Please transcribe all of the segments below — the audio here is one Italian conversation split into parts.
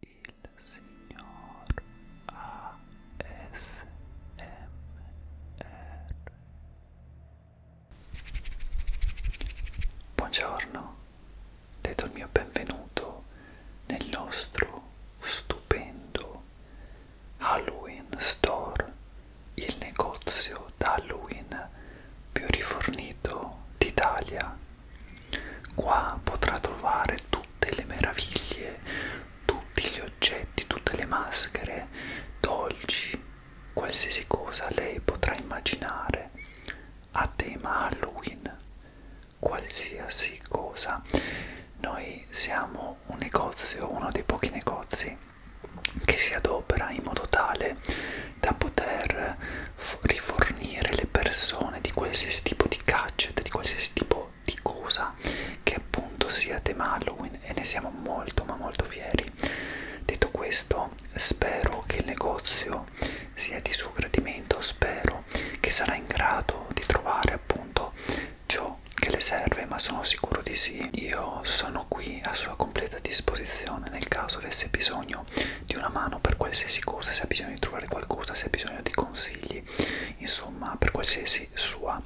il signor ASMR Buongiorno, le do il mio benvenuto nel nostro stupendo Halloween Store, il negozio d'Halloween più rifornito d'Italia Qua potrà trovare tutte le meraviglie, tutti gli oggetti, tutte le maschere, dolci, qualsiasi cosa lei potrà immaginare a tema Halloween, qualsiasi cosa. Noi siamo un negozio, uno dei pochi negozi che si adopera in modo tale da poter rifornire le persone di qualsiasi tipo di gadget, di qualsiasi tipo di cosa che appunto sia tema Halloween e ne siamo molto ma molto fieri. Detto questo, spero che il negozio sia di suo gradimento, spero che sarà in grado di trovare appunto ciò che le serve, ma sono sicuro di sì. Io sono qui a sua completa disposizione nel caso avesse bisogno bisogno di una mano per qualsiasi cosa, se ha bisogno di trovare qualcosa, se ha bisogno di consigli, insomma per qualsiasi sua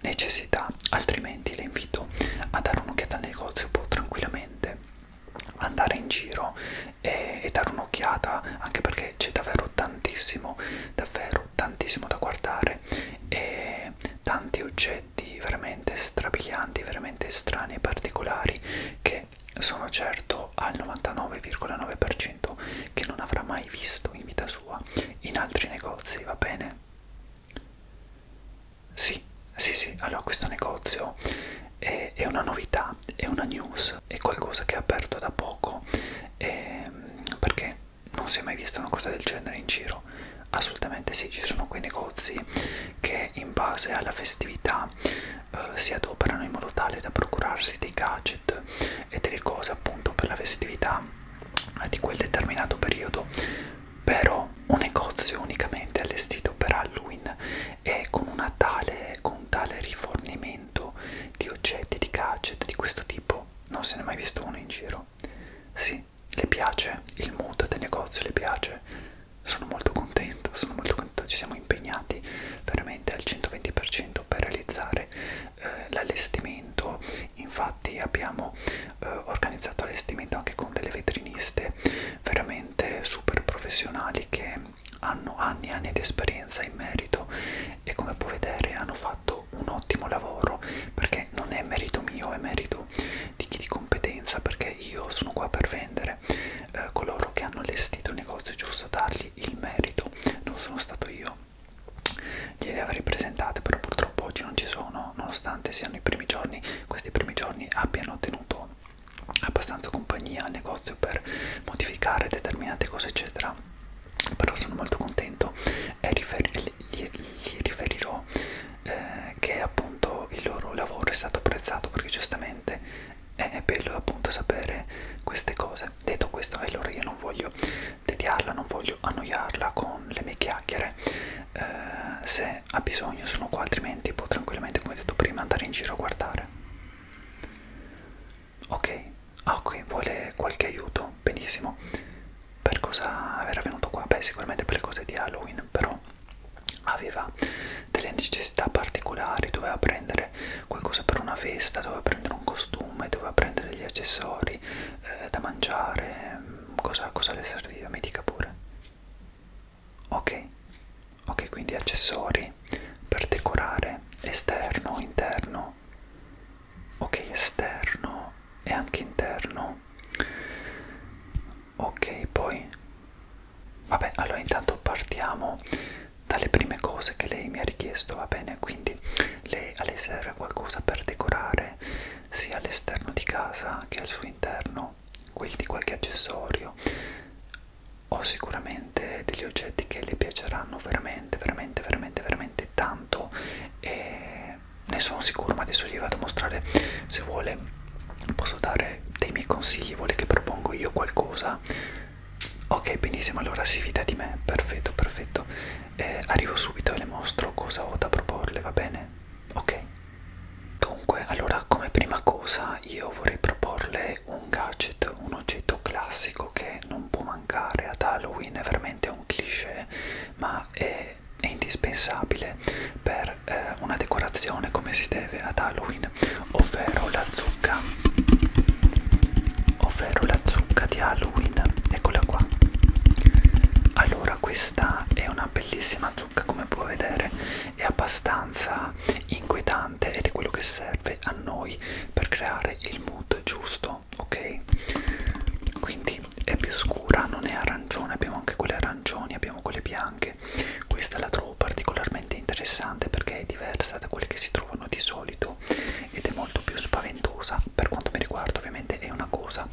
necessità, altrimenti le invito a dare un'occhiata al negozio, può tranquillamente andare in giro e, e dare un'occhiata, anche perché c'è davvero tantissimo, davvero tantissimo da guardare e tanti oggetti veramente strabilianti, veramente strani e particolari che che sono certo al 99,9% che non avrà mai visto in vita sua in altri negozi, va bene? Sì, sì, sì, allora questo negozio è, è una novità, è una news, è qualcosa che è aperto da poco e, ehm, perché non si è mai vista una cosa del genere in giro. Assolutamente sì, ci sono quei negozi che in base alla festività eh, si adoperano in modo tale da procurarsi dei gadget e delle cose appunto per la festività eh, di quel determinato periodo però un negozio unicamente allestito per Halloween e con, una tale, con un tale rifornimento di oggetti, di gadget di questo tipo non se ne è mai visto uno in giro sì, le piace? il mood del negozio le piace? sono molto contento, sono molto contento, ci siamo impegnati veramente al 120% per realizzare eh, l'allestimento, infatti abbiamo eh, organizzato allestimento anche con delle vetriniste veramente super professionali che hanno anni e anni di esperienza in merito e come puoi vedere hanno fatto un ottimo lavoro perché non è merito mio, è merito di chi di competenza perché io sono qua per vendere dire eh, coloro che hanno allestito il negozio è giusto dargli il merito non sono stato io gliele avrei presentate però purtroppo oggi non ci sono nonostante siano i primi giorni questi primi giorni abbiano tenuto abbastanza compagnia al negozio per modificare determinate cose eccetera però sono molto contento e rifer gli, gli riferirò eh, che appunto il loro lavoro è stato apprezzato perché giustamente eh, è bello appunto sapere queste cose. Detto questo, allora io non voglio tediarla, non voglio annoiarla con le mie chiacchiere. Eh, se ha bisogno sono qua, altrimenti può tranquillamente, come detto prima, andare in giro a guardare. Ok, ah ok, vuole qualche aiuto? Benissimo. Per cosa era venuto qua? Beh, sicuramente per le cose di Halloween, però aveva delle necessità particolari, doveva prendere qualcosa per una festa, doveva prendere un costume, doveva prendere gli accessori eh, da mangiare, mm, cosa, cosa le serviva, mi dica pure. Ok, ok, quindi accessori per decorare esterno, interno, ok, esterno e anche interno ok poi vabbè allora intanto partiamo dalle prime cose che lei mi ha richiesto va bene quindi lei, a lei serve qualcosa per decorare sia all'esterno di casa che al suo interno quindi qualche accessorio ho sicuramente degli oggetti che le piaceranno veramente veramente veramente veramente tanto e ne sono sicuro ma adesso gli vado a mostrare se vuole posso dare dei miei consigli, vuole che propongo io qualcosa? Ok, benissimo, allora si fida di me, perfetto, perfetto. Eh, arrivo subito e le mostro cosa ho da proporle, va bene? Ok. Dunque, allora, come prima cosa io vorrei proporle un gadget, un oggetto classico che non può mancare ad Halloween, è veramente un cliché, ma è, è indispensabile per per eh, una decorazione come si deve ad Halloween, ovvero la zucca, ovvero la zucca di Halloween, eccola qua. Allora, questa è una bellissima zucca, come puoi vedere, è abbastanza inquietante ed è quello che serve a noi per creare il mood giusto, ok? Quindi è più scura, non è arancione, abbiamo anche quelle arancioni, abbiamo quelle bianche che questa la trovo particolarmente interessante perché è diversa da quelle che si trovano di solito ed è molto più spaventosa per quanto mi riguarda ovviamente è una cosa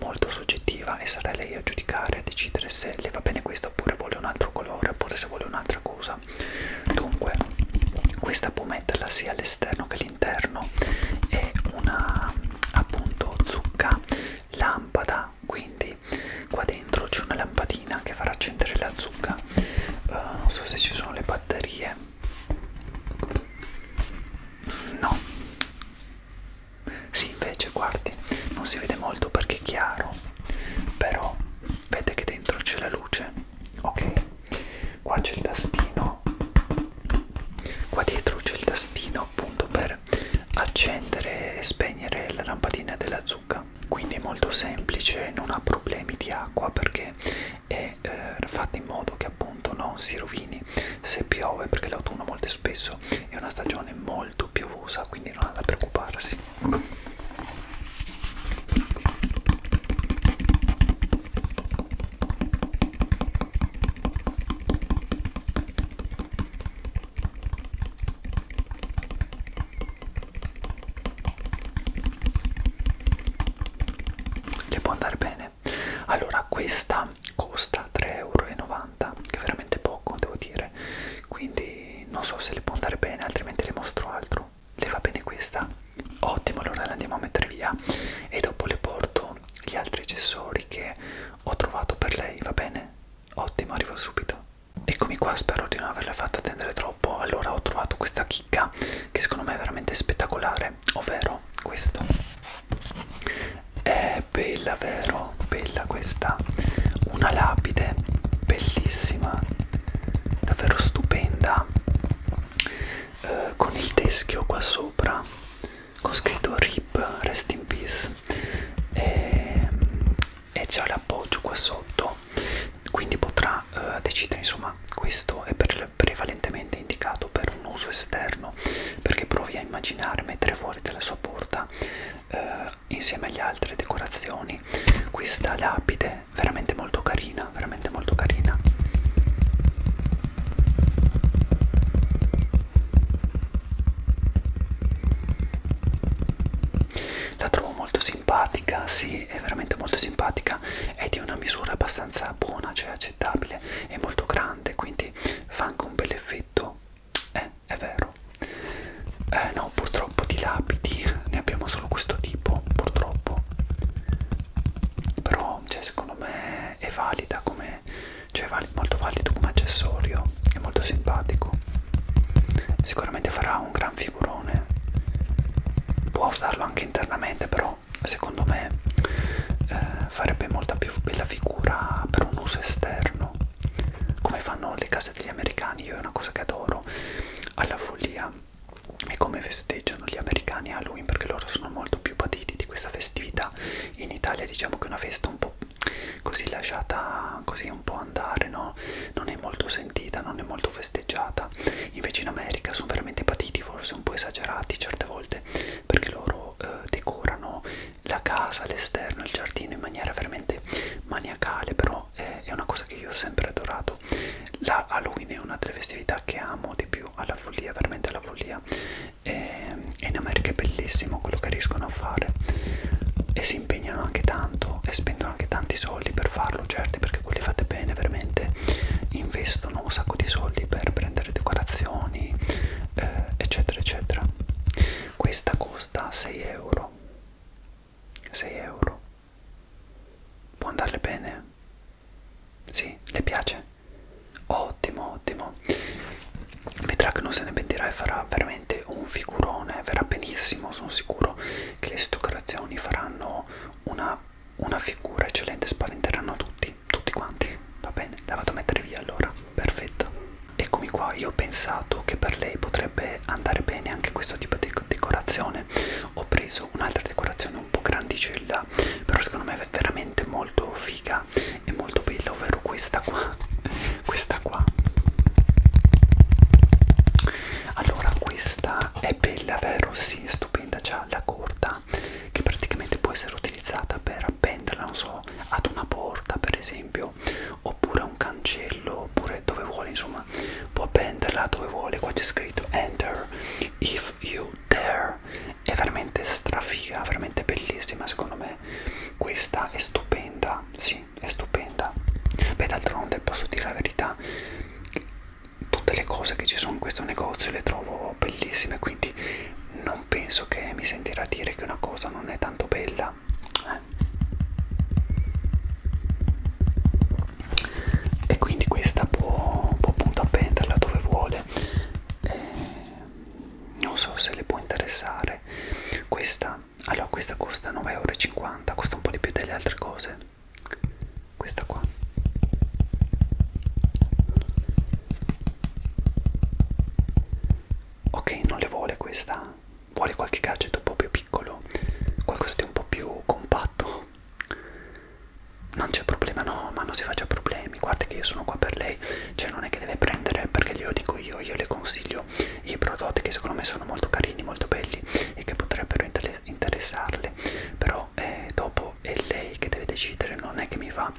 molto soggettiva e sarà lei a giudicare a decidere se le va bene questa oppure vuole un altro colore oppure se vuole un'altra cosa dunque questa può metterla sia all'esterno che all'interno è una appunto zucca lampada quindi qua dentro c'è una lampadina che farà accendere la zucca uh, non so se ci sono le batterie no sì invece guardi non si vede molto perché è chiaro però vede che dentro c'è la luce ok qua c'è il tastino qua dietro c'è il tastino appunto per accendere e spegnere la lampadina della zucca acqua quindi è molto semplice non ha problemi di acqua perché è eh, fatta in modo che appunto non si rovini se piove perché l'autunno molto spesso è una stagione molto piovosa quindi non ha da preoccuparsi le può andare bene allora questa costa 3,90 euro che è veramente poco devo dire quindi non so se le può andare bene altrimenti le mostro altro le va bene questa ottimo allora le andiamo a mettere via e dopo le porto gli altri accessori che ho trovato per lei va bene ottimo arrivo subito Eccomi qua, spero di non averla fatta attendere troppo. Allora ho trovato questa chicca che secondo me è veramente spettacolare, ovvero questo. È bella, vero? Bella questa. Una lapide bellissima, davvero stupenda, eh, con il teschio qua sopra, con scritto RIP, Rest in Peace. E ehm, e c'è l'appoggio qua sotto quindi potrà eh, decidere insomma questo è per, prevalentemente indicato per un uso esterno perché provi a immaginare mettere fuori dalla sua porta eh, insieme agli altre decorazioni questa lapide veramente molto carina veramente molto carina la trovo molto simpatica, sì, è veramente molto simpatica, è di una misura abbastanza buona, cioè accettabile, è molto grande, quindi fa anche un bel effetto, eh, è vero. Eh, no, purtroppo di lapidi ne abbiamo solo questo tipo, purtroppo. Però, cioè, secondo me è valida come, cioè è molto valido come accessorio, è molto simpatico sicuramente farà un gran figurone può usarlo anche internamente però secondo me eh, farebbe molta più bella figura per un uso esterno come fanno le case degli americani io è una cosa che adoro alla follia e come festeggiano gli americani Halloween perché loro sono molto più patiti di questa festività in Italia diciamo che è una festa un po' così lasciata così un po' andare, no? Non è molto sentita, non è molto festeggiata. Invece in America sono veramente patiti, forse un po' esagerati certe volte, perché loro eh, decorano la casa, l'esterno, il giardino in maniera veramente maniacale, però eh, è una cosa che io ho sempre adorato. La Halloween è una delle festività che amo di più, alla follia, veramente alla follia. E, ehm, e in America è bellissimo quello che riescono a fare. E si impegnano anche tanto e spendono anche tanti soldi per farlo, certi perché quelli fate bene veramente investono un sacco di soldi per prendere decorazioni, eh, eccetera, eccetera. Questa costa 6 euro. 6 euro. Può andarle bene? Sì, le piace? Ottimo, ottimo vedrà che non se ne pentirà e farà veramente un figurone, verrà benissimo, sono sicuro che le situazioni faranno una, una figura eccellente, spaventeranno tutti, tutti quanti, va bene, la vado a mettere via allora, perfetto. Eccomi qua, io ho pensato che per lei potrebbe andare bene anche questo tipo di decorazione, ho preso un'altra decorazione un po' grandicella, però secondo me è veramente molto figa e molto bella, ovvero questa qua questa qua allora questa è bella vero sì è stupenda gialla corta che praticamente può essere utilizzata per appenderla non so ad una porta per esempio oppure a un cancello oppure dove vuole insomma può appenderla dove vuole qua c'è scritto enter if you dare è veramente strafiga veramente bellissima secondo me questa è stupenda sì sì, è stupenda. Beh, d'altronde posso dire la verità, tutte le cose che ci sono in questo negozio le trovo bellissime, quindi non penso che mi sentirà dire che una cosa non è tanto bella. Eh. E quindi questa può, può appunto appenderla dove vuole. Eh, non so se le può interessare. Questa allora questa costa 9,50€, costa un po' di più delle altre cose. Questa qua. Ok, non le vuole questa. Vuole qualche gadget un po' più piccolo, qualcosa di un po' più compatto. Non c'è problema, no, ma non si faccia problemi. Guarda che io sono qua per lei, cioè non è che deve prendere perché glielo dico io, io le consiglio giro i prodotti che secondo me sono molto carini, molto belli e che potrebbero inter interessarle però eh, dopo è lei che deve decidere, non è che mi fa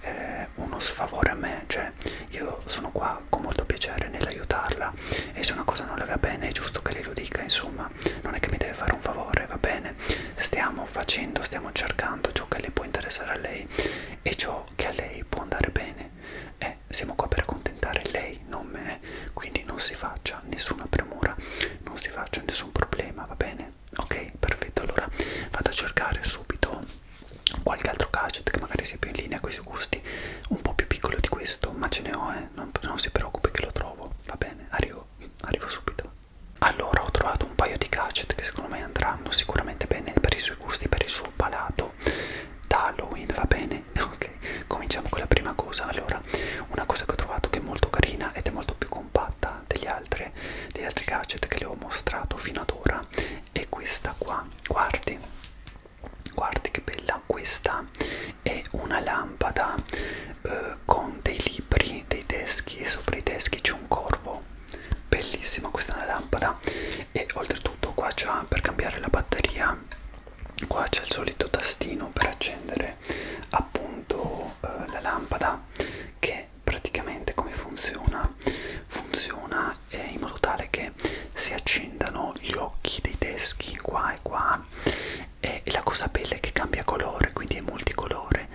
eh, uno sfavore a me cioè io sono qua con molto piacere nell'aiutarla e se una cosa non le va bene è giusto che lei lo dica insomma non è che mi deve fare un favore, va bene stiamo facendo, stiamo cercando ciò che le può interessare a lei e ciò che a lei può andare bene eh, siamo qua per accontentare lei, non me, quindi non si faccia nessuna premura, non si faccia nessun problema, va bene? Ok, perfetto, allora vado a cercare subito qualche altro gadget che magari sia più in linea con i suoi gusti, un po' più piccolo di questo, ma ce ne ho, eh, non, non si preoccupi che lo trovo, va bene, arrivo, arrivo subito. Allora ho trovato un paio di gadget che secondo me andranno sicuramente bene per i suoi gusti, per il suo palato detto da Halloween, va bene? Ok, cominciamo con la prima cosa. Allora, una cosa che ho trovato che è molto carina ed è molto più compatta degli altri, degli altri gadget che le ho mostrato fino ad ora è questa qua. Guardi, guardi che bella! Questa è una lampada eh, con dei libri, dei teschi e sopra i teschi c'è un corvo. Bellissima questa è una lampada e oltretutto qua c'è per cambiare la batteria qua c'è il solito tastino per accendere appunto eh, la lampada che praticamente come funziona funziona eh, in modo tale che si accendano gli occhi dei teschi qua e qua e la cosa bella è che cambia colore quindi è multicolore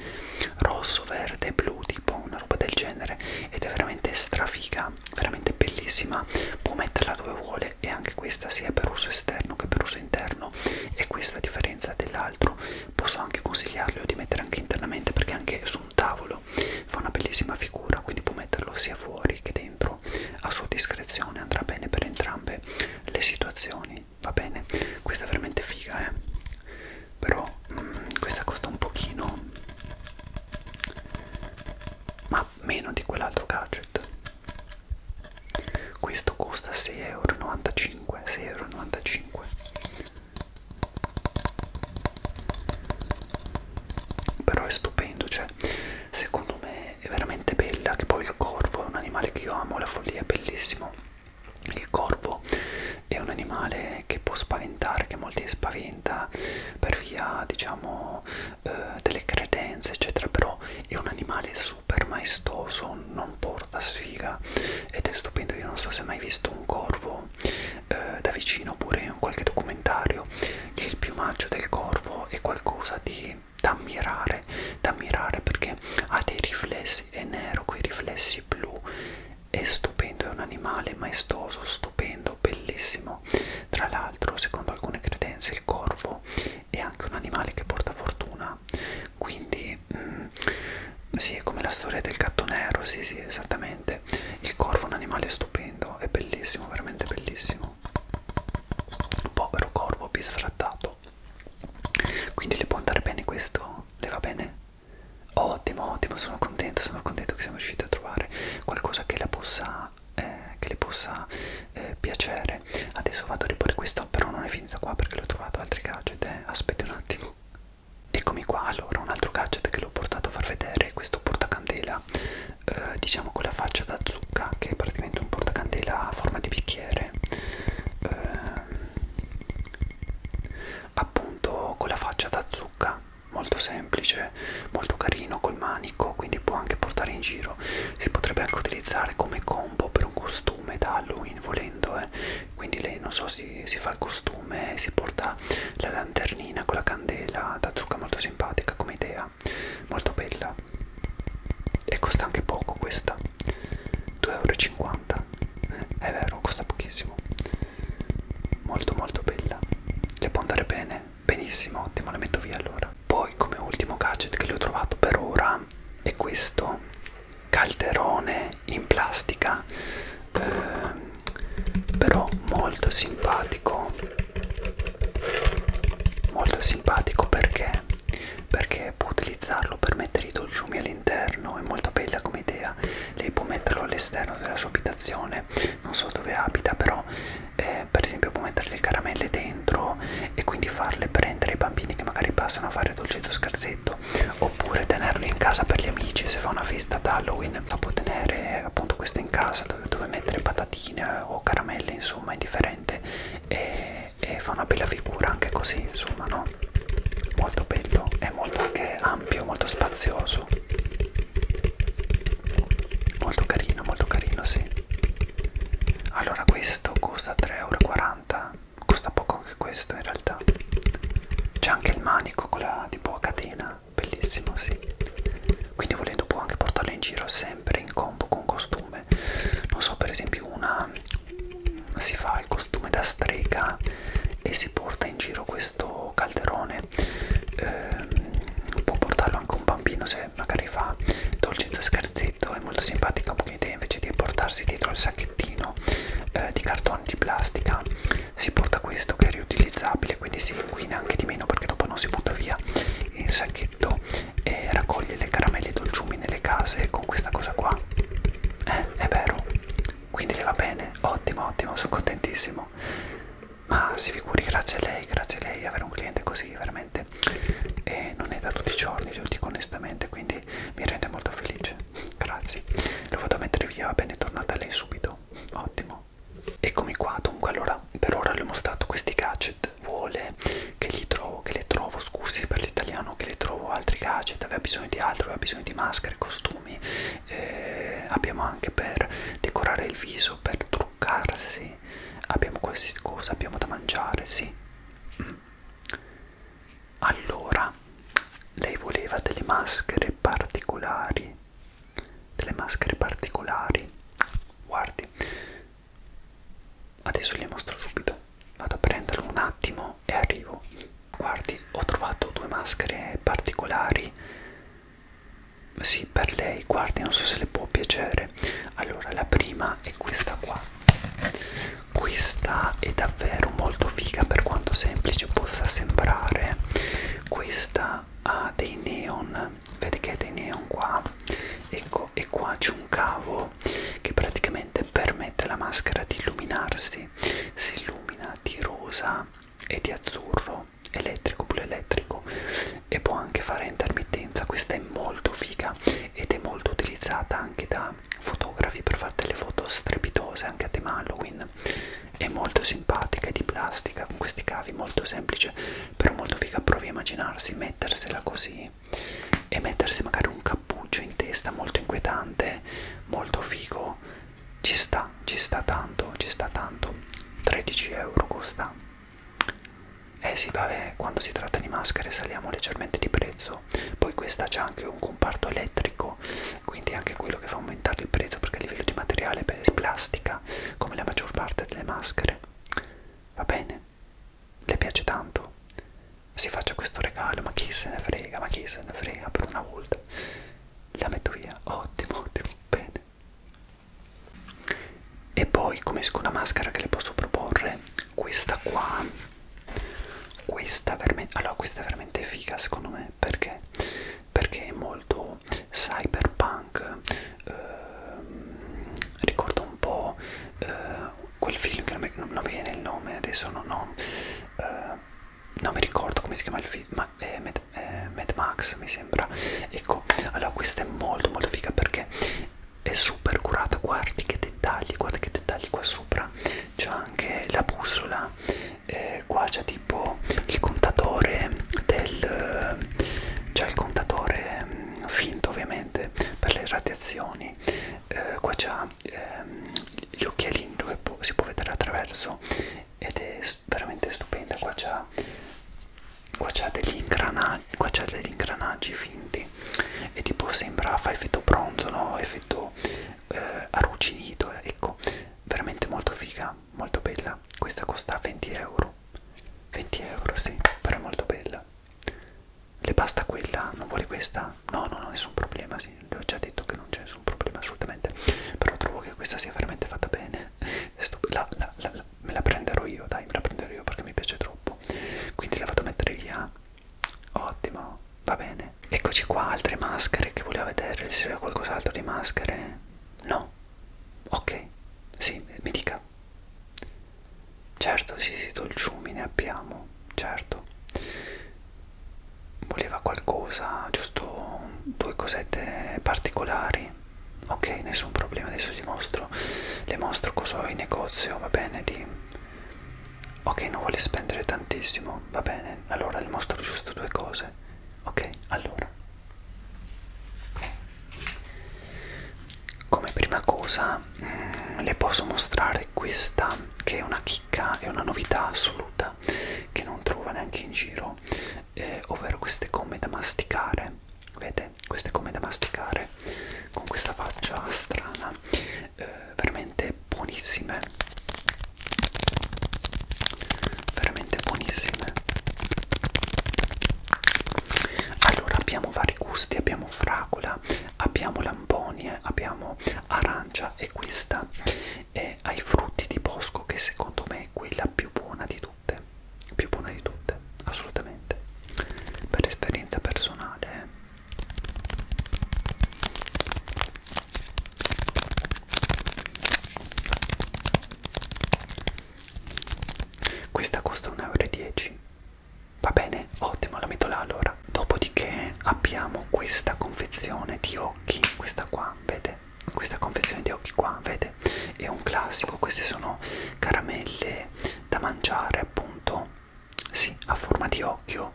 rosso verde blu tipo una roba del genere ed è veramente strafiga tela veramente bellissima può metterla dove vuole e anche questa sia per uso esterno che per uso interno e questa a differenza dell'altro posso anche consigliarlo di mettere anche internamente perché anche su un tavolo fa una bellissima figura quindi può metterlo sia fuori che dentro a sua discrezione andrà bene per entrambe le situazioni va bene questa è veramente figa eh però mh, mm, questa costa un pochino ma meno di quell'altro gadget questo costa 6,95 euro 6,95 euro però è stupendo cioè secondo me è veramente bella che poi il corvo è un animale che io amo la follia è bellissimo il corvo è un animale che può spaventare che molti spaventano alimenta per via diciamo eh, delle credenze eccetera però è un animale super maestoso non porta sfiga ed è stupendo io non so se hai mai visto un corvo eh, da vicino oppure in qualche documentario che il piumaggio del corvo è qualcosa di da ammirare da ammirare perché ha dei riflessi è nero con i riflessi blu è stupendo, è un animale maestoso, stupendo, bellissimo. Tra l'altro, secondo alcune credenze, il corvo è anche un animale che porta fortuna. Quindi, mm, sì, è come la storia del gatto nero, sì, sì, esattamente. Il corvo è un animale stupendo, è bellissimo, veramente bellissimo. Povero corvo bisfrattato. Quindi le può andare bene questo? Le va bene? Ottimo, ottimo, sono contento, sono contento che siamo riusciti a trovare qualcosa che le possa, eh, che le possa eh, piacere. Adesso vado a riporre questo, però non è finita qua perché l'ho trovato altri gadget, eh. aspetti un attimo. Eccomi qua, allora un altro gadget che l'ho portato a far vedere, questo portacandela, eh, diciamo con la faccia da zucca, che è praticamente un portacandela a forma di bicchiere. Eh, appunto con la faccia da zucca molto semplice, molto carino col manico, quindi può anche portare in giro. Si potrebbe anche utilizzare come combo per un costume da Halloween volendo, eh. quindi lei non so si, si fa il costume, si porta la lanternina con la candela, da trucca molto simpatica come idea, molto bella e costa anche poco questa, 2,50 euro è vero costa pochissimo molto molto bella le può andare bene benissimo ottimo le metto via allora poi come ultimo gadget che le ho trovato per ora è questo calderone in plastica eh, però molto simpatico molto simpatico perché perché può utilizzarlo per mettere i dolciumi all'interno è molto bella come idea idea lei può metterlo all'esterno della sua abitazione non so dove abita però eh, per esempio può mettere le caramelle dentro e quindi farle prendere ai bambini che magari passano a fare dolcetto scherzetto oppure tenerlo in casa per gli amici se fa una festa ad Halloween la può tenere appunto questo in casa dove, dove mettere patatine o caramelle insomma indifferente e, e fa una bella figura anche così insomma no molto bello è molto anche veramente ampio, molto spazioso. Molto carino, molto carino, sì. Allora questo costa 3,40€, costa poco anche questo in realtà. C'è anche il manico con la tipo a catena, bellissimo, sì. Quindi volendo può anche portarlo in giro sempre in combo con costume. Non so, per esempio una si fa il costume da strega e si porta in giro questo calderone eh, può portarlo anche un bambino se magari fa dolcetto e scherzetto è molto simpatica come idea invece di portarsi dietro il sacchettino eh, di cartone di plastica si porta questo che è riutilizzabile quindi si inquina anche di meno perché dopo non si butta via il sacchetto e raccoglie le caramelle e i dolciumi nelle case con questa cosa qua eh, è vero quindi le va bene, ottimo, ottimo, sono contentissimo. Ma si figuri, grazie a lei, grazie a lei, avere un cliente così veramente e non è da tutti i giorni, lo dico onestamente, quindi mi rende molto felice. Grazie, lo vado a mettere via, va bene, tornata lei subito, ottimo. Eccomi qua, dunque allora per ora le ho mostrato questi gadget, vuole che gli trovo, che le trovo, scusi per l'italiano, che le trovo altri gadget, aveva bisogno di altro, aveva bisogno di maschere, costumi, eh, abbiamo anche per decorare il viso, per truccarsi, abbiamo qualsiasi cosa, abbiamo da mangiare, sì. Mm. Allora, lei voleva delle maschere particolari, delle maschere particolari, guardi, adesso le mostro subito, vado a prenderlo un attimo e arrivo guardi ho trovato due maschere particolari sì per lei guardi non so se le può piacere allora la prima è questa qua questa è davvero molto figa per quanto semplice possa sembrare questa ha dei neon vedi che ha dei neon qua ecco e qua c'è un cavo che praticamente permette alla maschera di illuminarsi si illumina di rosa e di azzurro elettrico pure elettrico e può anche fare intermittenza questa è molto figa ed è molto utilizzata anche da fotografi per fare delle foto strepitose anche a tema Halloween è molto simpatica è di plastica con questi cavi molto semplice però molto figa provi a immaginarsi mettersela così e mettersi magari un cappuccio in testa molto inquietante molto figo ci sta, ci sta tanto, ci sta tanto, 13 euro costa. Eh sì, vabbè, quando si tratta di maschere saliamo leggermente di prezzo, poi questa c'è anche un comparto elettrico, quindi è anche quello che fa aumentare il prezzo perché a livello di materiale beh, è plastica, come la maggior parte delle maschere. Va bene? Le piace tanto? Si faccia questo regalo, ma chi se ne frega, ma chi se ne frega per una volta la metto via ottimo ottimo bene e poi come seconda maschera che le posso proporre questa qua questa veramente allora questa è veramente figa secondo me perché perché è molto cyberpunk ehm, ricorda un po' eh, quel film che non mi, non mi viene il nome adesso non ho eh, non mi ricordo come si chiama il film, ma eh, Mad, eh, Mad Max mi sembra. Ecco, allora questa è molto molto figa perché è super curata, guardi che dettagli, guardi che dettagli qua sopra. C'è anche la bussola, eh, qua c'è tipo il contatore del... c'è il contatore mm, finto ovviamente per le radiazioni, eh, qua c'è ha ehm, gli occhialini dove può, si può vedere attraverso ed è veramente stupenda qua c'ha qua c'ha degli ingranaggi qua c'ha degli ingranaggi finti e tipo sembra fa effetto bronzo no effetto eh, arrugginito ecco veramente molto figa molto bella questa costa 20 euro 20 euro sì però è molto bella le basta quella non vuole questa no no no nessun problema si sì, le ho già detto che non c'è nessun problema assolutamente, però trovo che questa sia veramente fatta bene, la, la, la, la, me la prenderò io, dai, me la prenderò io perché mi piace troppo, quindi la vado a mettere via, ah. ottimo, va bene, eccoci qua, altre maschere che voleva vedere, se c'è qualcos'altro di maschere, no, ok, sì, mi dica, certo, sì, sì, dolciumi ne abbiamo, certo, voleva qualcosa, giusto due cosette particolari. Ok, nessun problema, adesso gli mostro, le mostro cosa ho in negozio, va bene, di... Ok, non vuole spendere tantissimo, va bene, allora le mostro giusto due cose. Ok, allora. Come prima cosa mh, mm, le posso mostrare provare questa che è una chicca, è una novità assoluta che non trova neanche in giro, eh, ovvero queste gomme da masticare. Vede, queste gomme da masticare con questa faccia strana, eh, veramente buonissime, veramente buonissime. Allora abbiamo vari gusti, abbiamo fragola, abbiamo lamponie, abbiamo arancia e questa eh, ai frutti di bosco che secondo me è quella più buona di tutte più buona di tutte assolutamente per esperienza personale eh. questa costa 1,10 euro va bene ottimo la metto là allora dopodiché abbiamo questa confezione di occhi questa qua vede questa confezione di occhi qua vede è un classico queste sono caramelle da mangiare appunto sì a forma di occhio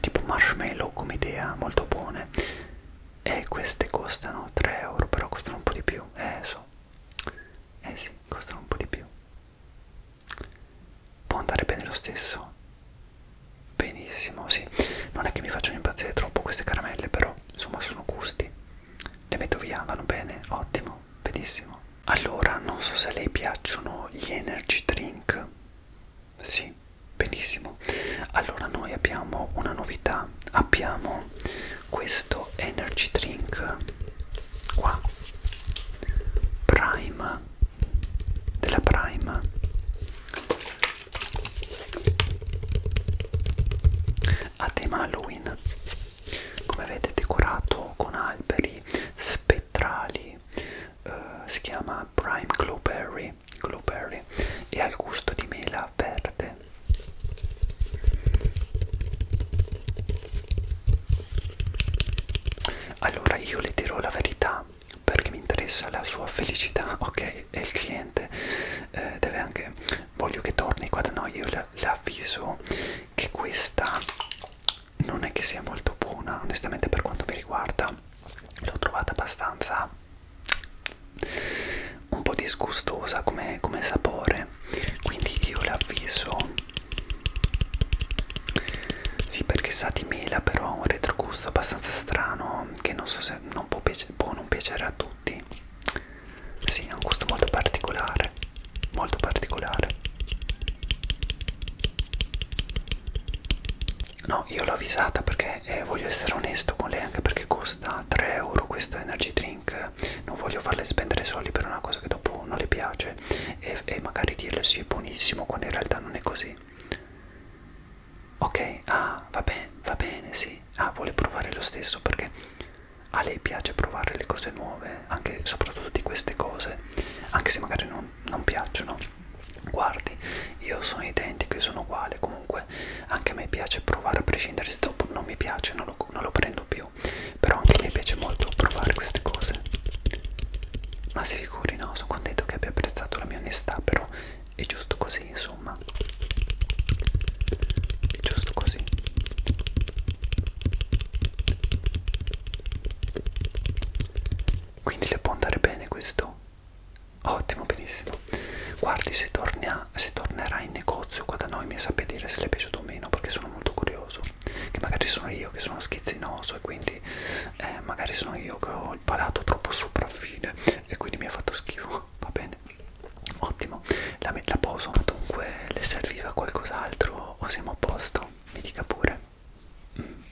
tipo marshmallow come idea molto buone e queste costano 3 euro però costano un po' di più eh so eh sì costano un po' di più può andare bene lo stesso Benissimo, sì. Non è che mi facciano impazzire troppo queste caramelle, però insomma sono gusti. Le metto via, vanno bene, ottimo, benissimo. Allora, non so se a lei piacciono gli energy drink. Sì, benissimo. Allora noi abbiamo una novità, abbiamo questo energy drink qua. Prime della Prime a tema Halloween come vedete decorato con alberi spettrali eh, si chiama Prime Glowberry, Glowberry e al gusto di mela verde allora io le dirò la verità perché mi interessa la sua felicità, ok? E il cliente eh, deve anche, voglio che torni qua da noi, io le, le avviso che questa non è che sia molto buona, onestamente per quanto mi riguarda l'ho trovata abbastanza un po' disgustosa come, come sapore, quindi io le avviso sì, perché sa di mela, però ha un retrogusto abbastanza strano che non so se non può, può non piacere a tutti. Sì, ha un gusto molto particolare, molto particolare. No, io l'ho avvisata perché eh, voglio essere onesto con lei anche perché costa 3 euro questa energy drink. Non voglio farle spendere soldi per una cosa che dopo non le piace e, e magari dirle sì, è buonissimo quando in realtà non è così. Ok, ah, va bene, va bene, sì. Ah, vuole provare lo stesso perché a lei piace provare le cose nuove, anche soprattutto di queste cose, anche se magari non, non piacciono. Guardi, io sono identico, io sono uguale, comunque anche a me piace provare a prescindere se dopo non mi piace, non lo, non lo prendo più. Però anche a me piace molto provare queste cose. Ma se vi figuri no, sono contento che abbia apprezzato la mia onestà però è giusto così insomma è giusto così quindi le può andare bene questo? ottimo benissimo guardi se, torna, se tornerà in negozio qua da noi mi sapete dire se le è piaciuto o meno perché sono molto curioso che magari sono io che sono schizzinoso e quindi eh, magari sono io che ho il palato troppo sopraffine e quindi mi ha fatto schifo va bene ottimo la, la poso dunque le serviva qualcos'altro o siamo a posto mi dica pure mm.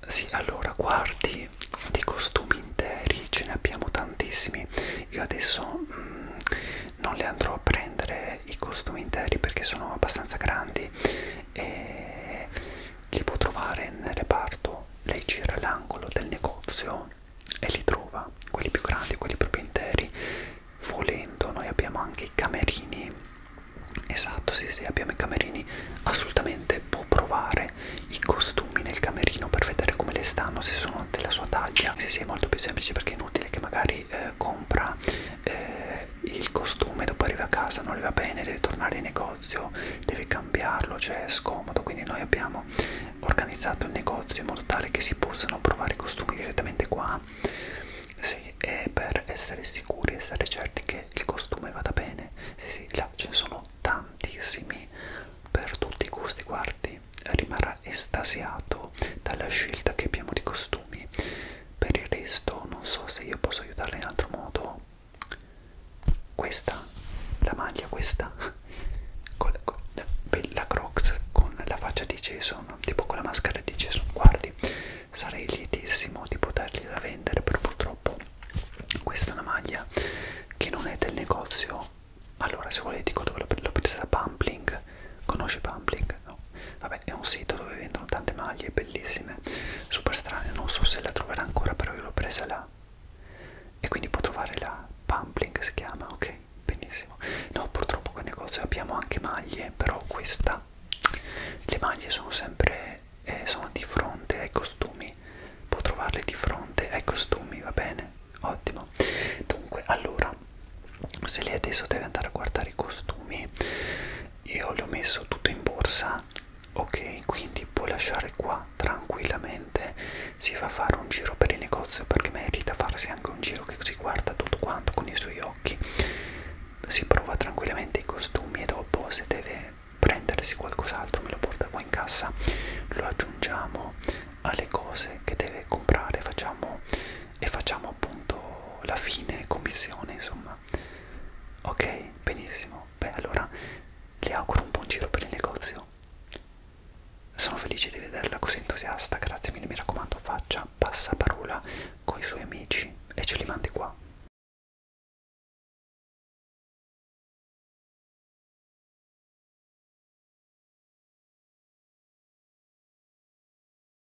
sì allora guardi di costumi interi ce ne abbiamo tantissimi io adesso mm, non le andrò a prendere eh, i costumi interi perché sono abbastanza grandi e li può trovare nel reparto lei gira l'angolo del negozio e li trova quelli più grandi quelli proprio interi volendo noi abbiamo anche i camerini esatto sì sì abbiamo i camerini assolutamente può provare i costumi nel camerino per vedere come le stanno se sono della sua taglia sì sì è molto più semplice perché è inutile che magari eh, eh, compra eh, il costume, dopo arriva a casa, non gli va bene, deve tornare in negozio, deve cambiarlo, cioè è scomodo, quindi noi abbiamo organizzato il negozio in modo tale che si possano provare i costumi direttamente qua sì, e per essere sicuri, essere certi che il costume vada bene, sì sì, là ce ne sono tantissimi per tutti i gusti, guardi, rimarrà estasiato dalla scelta che abbiamo di costumi per il resto non so se io posso aiutarla in altro modo questa la maglia questa con la, con la, la crocs con la faccia di Jason tipo con la maschera di Jason guardi sarei lietissimo di potergliela vendere però purtroppo questa è una maglia che non è del negozio allora se volete dico dove l'ho presa da Pumpling conosci Pumpling? no Vabbè, è un sito dove vendono tante maglie bellissime, super strane, non so se la troverà ancora, però io l'ho presa là. E quindi può trovare la Pumpling si chiama, ok? Benissimo. No, purtroppo quel negozio abbiamo anche maglie, però questa, le maglie sono sempre, eh, sono di fronte ai costumi, può trovarle di fronte ai costumi, va bene? Ottimo. Dunque, allora, se lei adesso deve andare a guardare i costumi, io le ho messo tutto in borsa ok quindi puoi lasciare qua tranquillamente si va a fare un giro per il negozio perché merita farsi anche un giro che si guarda tutto quanto con i suoi occhi si prova tranquillamente i costumi e dopo se deve prendersi qualcos'altro me lo porta qua in cassa lo aggiungiamo alle cose che deve comprare facciamo e facciamo appunto la fine commissione insomma ok benissimo beh allora le auguro un buon giro per il negozio sono felice di vederla così entusiasta grazie mille mi raccomando faccia passaparola con i suoi amici e ce li mandi qua